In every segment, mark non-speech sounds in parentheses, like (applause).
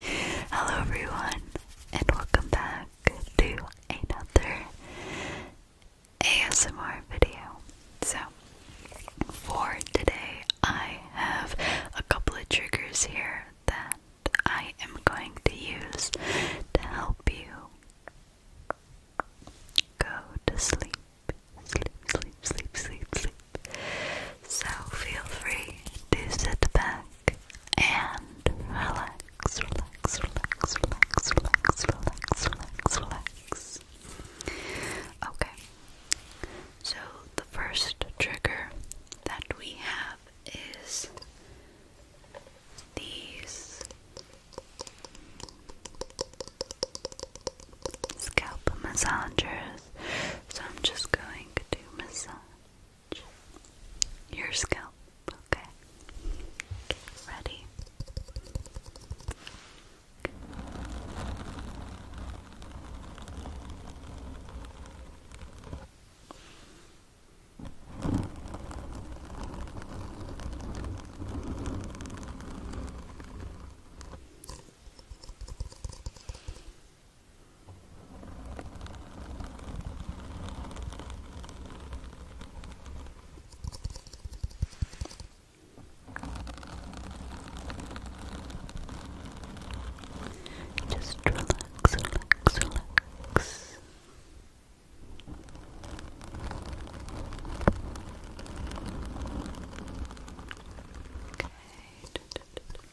Hello, everyone, and welcome back to another ASMR video. So, for today, I have a couple of triggers here that I am going to use to help you go to sleep. Sleep, sleep, sleep, sleep, sleep. So, feel free to sit back, and relax, relax, relax, relax, relax, relax, relax, relax. Okay, so the first trigger that we have is these scalp massagers. So I'm just going to massage your scalp, okay? ready? Just relax, relax, relax. Okay.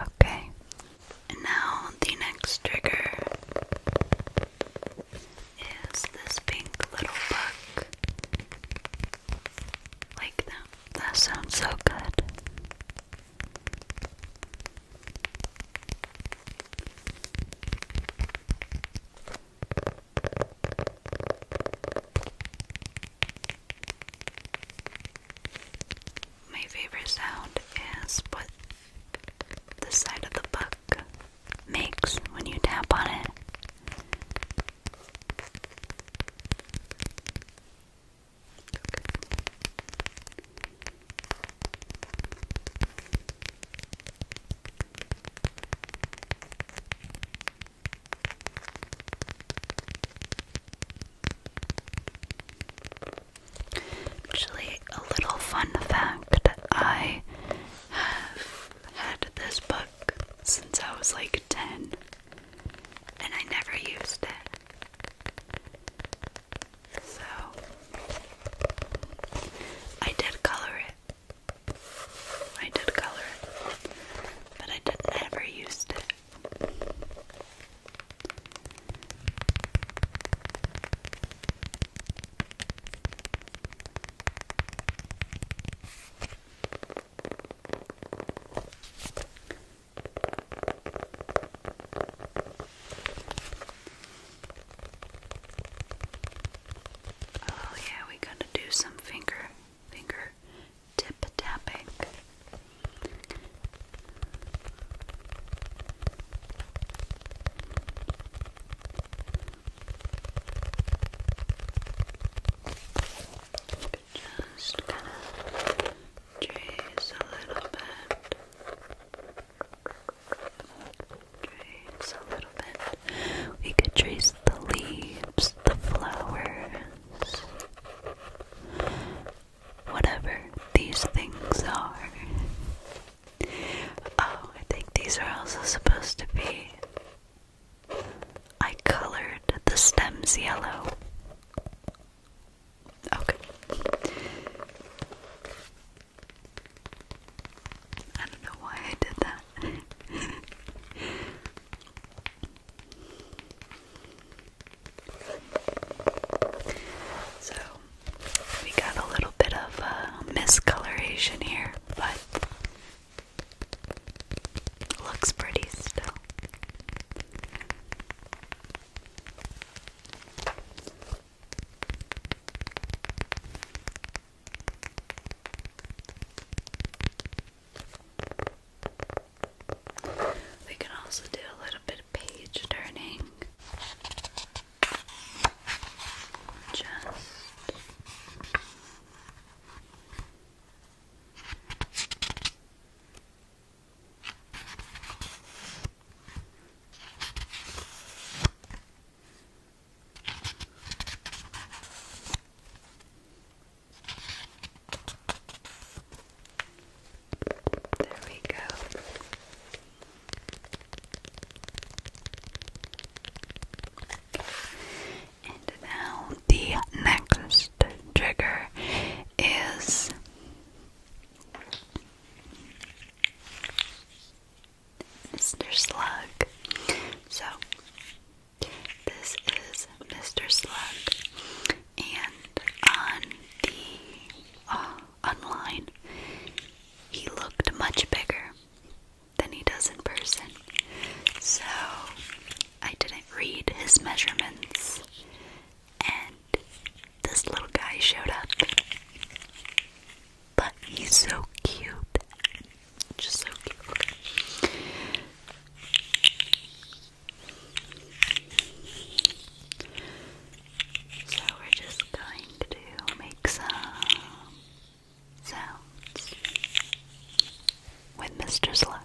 Okay. And now the next trigger is this pink little book. Like that. That sounds so good. My favorite sound is what the side of the book makes when you tap on it. Actually, a little fun fact I have had this book since I was like 10, and I never used it. So I did color it. I did color it. But I never used it. Oh yeah, we gotta do some finger finger tip tapping. Just gonna trace a little bit. We could trace the leaves, the flowers, whatever these things are. Oh, I think these are also supposed to be. I colored the stems yellow. Okay. I don't know why I did that. so we got a little bit of uh, miscoloration here, but looks pretty still. We can also do a little bit of page turning. Just there we go. And now the next trigger is Mr. Slug. So, this is Mr. Slug, and on the uh, online, he looked much bigger than he does in person. So, I didn't read his measurements, and this little guy showed up. But he's so cute. Just so cute. So we're just going to make some sounds with Mr. Slug.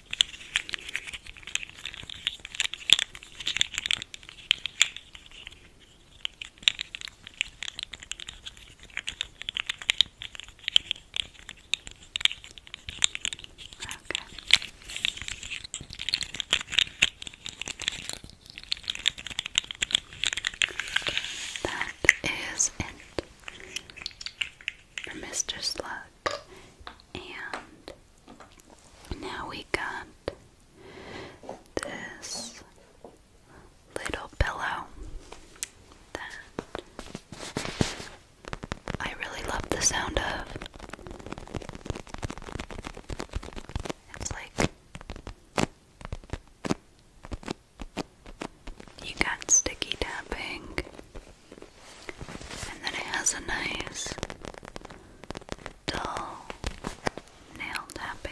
That is it for Mr. Slug. And now we got this little pillow that I really love the sound of. It's like you got sticky tapping and then it has a nice dull nail tapping.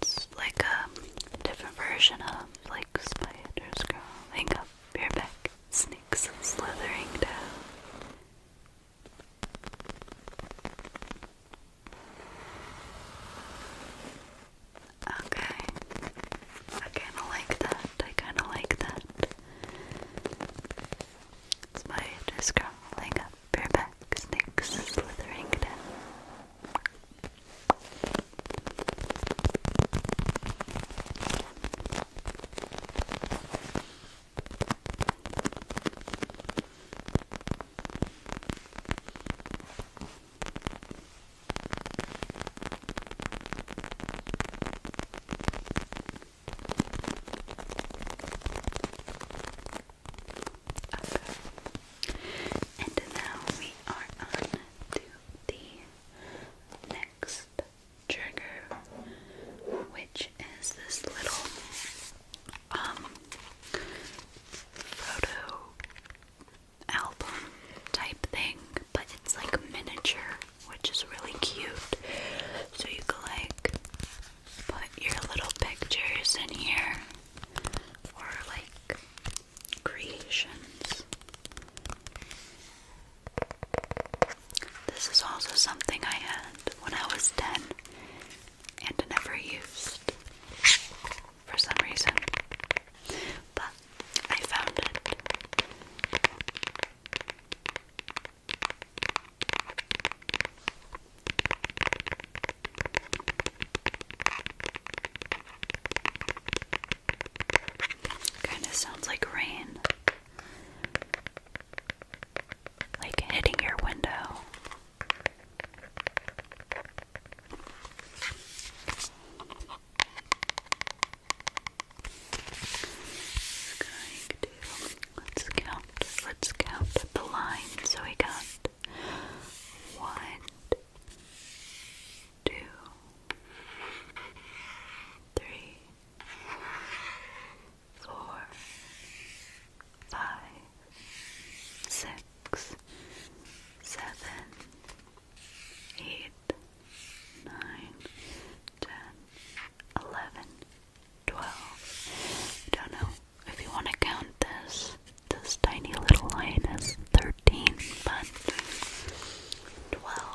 It's like a different version of like spider crawling up your back, snakes slithering down. Okay. I kinda like that. I kinda like that. Spiders crawling up bareback snakes slithering down. And now we are on to the next trigger, which is this little um, photo album type thing, but it's like miniature, which is really cute. So you can like put your little pictures in here or like creations. This is also something I had when I was 10 and never used for some reason, but I found it. Kind of sounds like rain. Like hitting your window. Just Let's count. Let's count the line. So we got one, two, three, four, five, six, seven, eight, nine, ten, eleven, twelve. don't know if you want to count this, this tiny little line is 13, but 12, lines.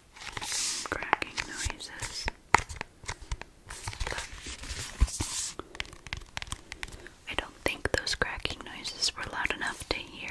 cracking noises. I don't think those cracking noises were loud enough to hear.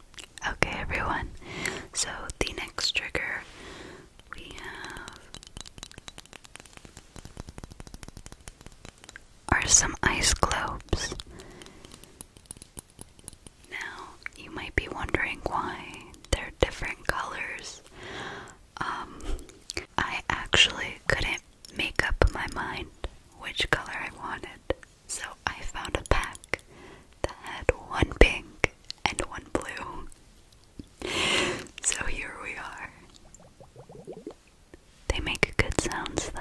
Okay, everyone. So the next trigger we have are some ice globes. Now, you might be wondering why they're different colors. Um, I actually couldn't make up my mind which color I wanted. So I found a pack that had one pink and one blue. So here we are. They make good sounds though.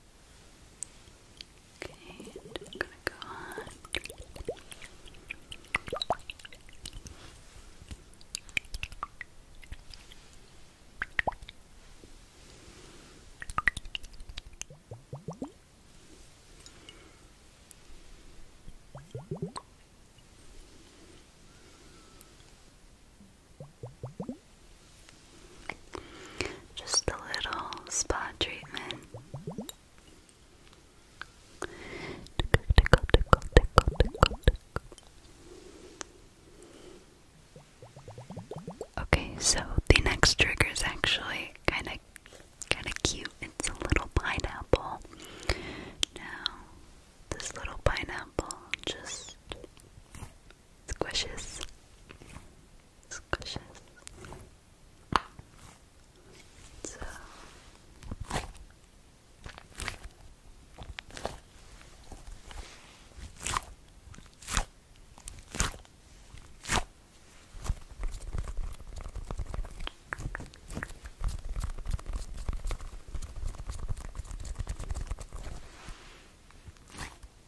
Okay, I'm gonna go on. Just a little spa treatment. Okay, so the next trigger is actually kind of kind of cute. It's a little pineapple. Now, this little pineapple just Squishes. Squishes. So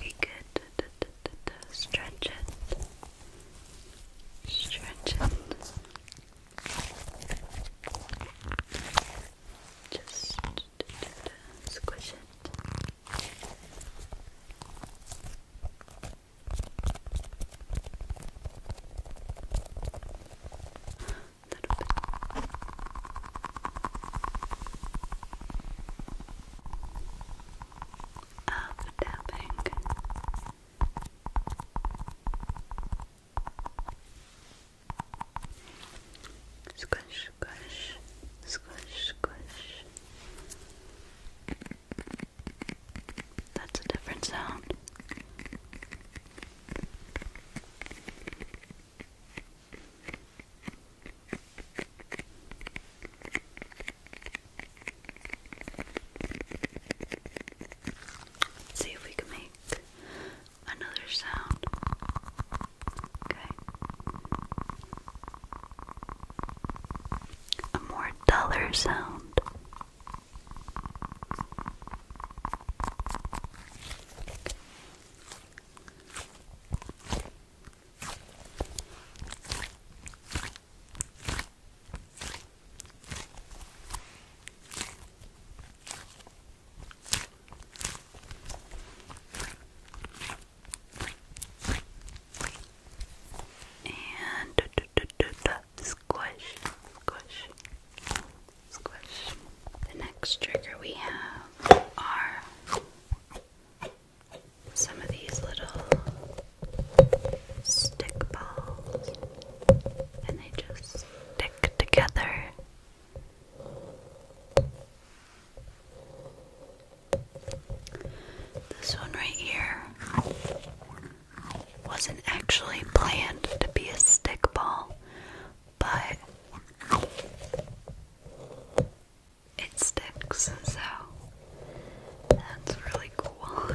We could stretch it, stretch it, just squish it. Little bit of tapping. Squish, squish, squish, squish. That's a different sound see if we can make another sound. Okay. A more duller sound. And squish, squish, squish. The next trigger we have are some of these little stick balls and they just stick together. This one right here wasn't actually planned to be a stick ball, but it sticks, so that's really cool. (laughs)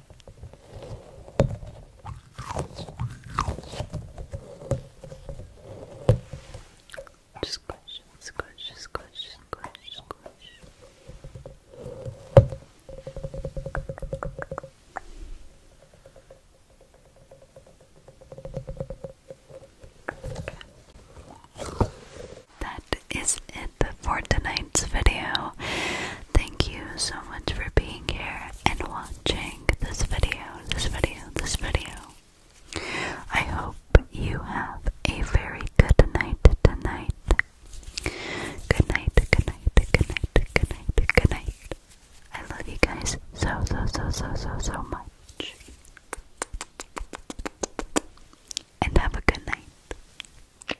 Squish, squish, squish, squish, squish. That is it for tonight's video. Thank you so much for being here and watching this video, this video, this video. I hope you have a very good night tonight. Good night, good night, good night, good night, good night. I love you guys so, so, so, so, so, so much. And have a good night.